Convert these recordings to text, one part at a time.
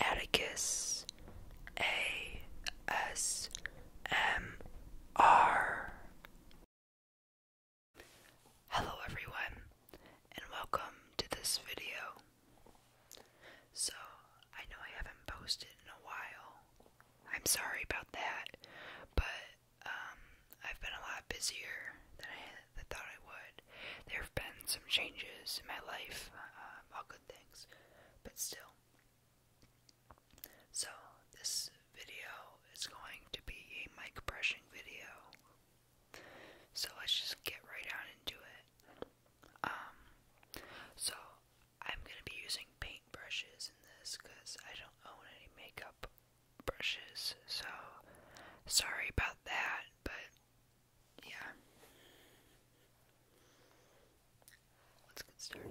Atticus A S M R Hello everyone and welcome to this video. So, I know I haven't posted in a while. I'm sorry about that, but um, I've been a lot busier than I I thought I would. There have been some changes in my life, um, all good things, but still. So, this video is going to be a mic brushing video. So, let's just get right on into it. Um, so, I'm going to be using paint brushes in this because I don't own any makeup brushes, so sorry about that, but yeah. Let's get started.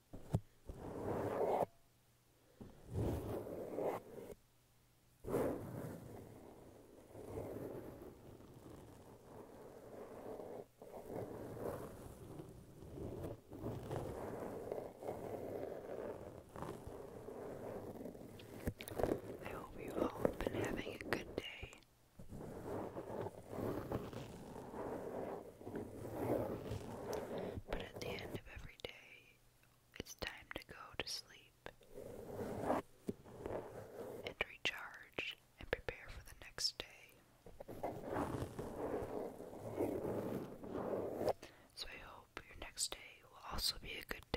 I hope you all have been having a good day. But at the end of every day, it's time to go to sleep and recharge and prepare for the next day. So I hope your next day will also be a good day.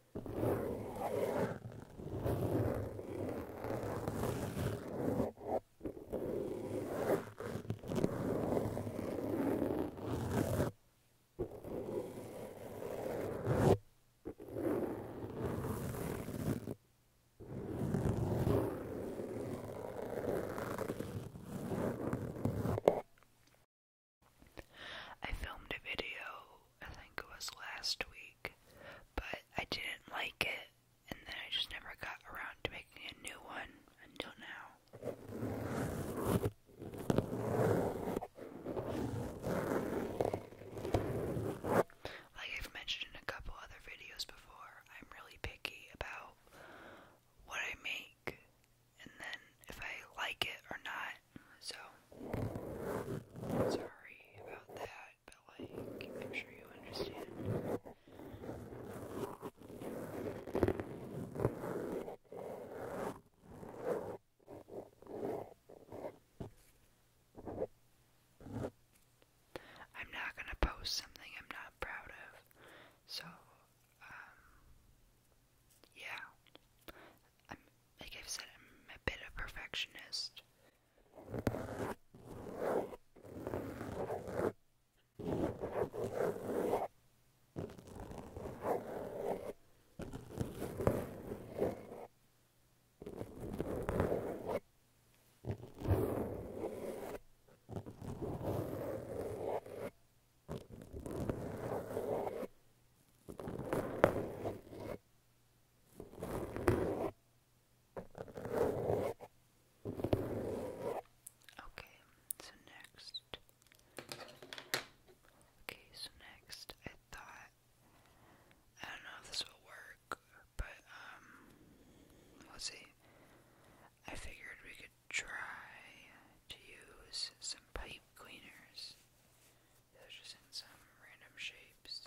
I filmed a video I think it was last week, but I didn't like it, and then I just never got around to making a new one until now. Like I've mentioned in a couple other videos before, I'm really picky about what I make, and then if I like it or not, so sorry about that, but like, I'm sure you understand. I'm not gonna post something I'm not proud of, so, um, yeah, I'm, like I've said, I'm a bit of a perfectionist. Okay, so next. Okay, so next I thought I don't know if this will work, but um let's see. I figured we could try to use some pipe cleaners they're just in some random shapes.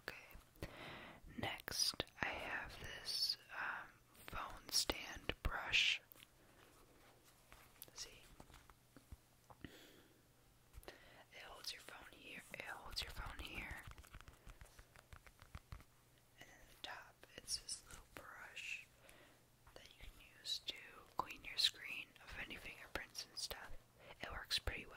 Okay. Next, I have this um, phone stand brush. See? It holds your phone here. It holds your phone here. And then the top, it's this little brush that you can use to clean your screen of any fingerprints and stuff. It works pretty well.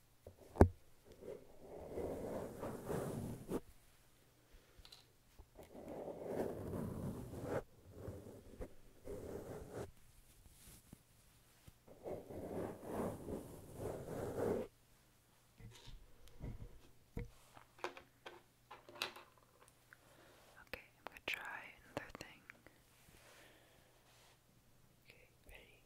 Okay, I'm gonna try another thing. Okay, ready?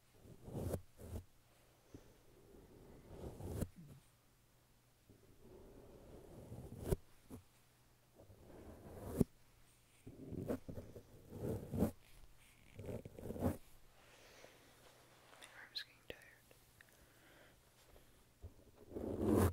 arm's getting tired.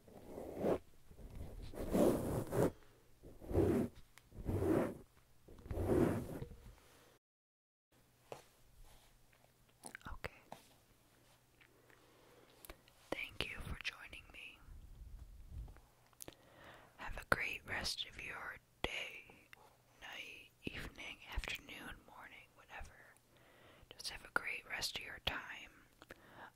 Okay. Thank you for joining me. Have a great rest of your day, night, evening, afternoon, morning, whatever. Just have a great rest of your time.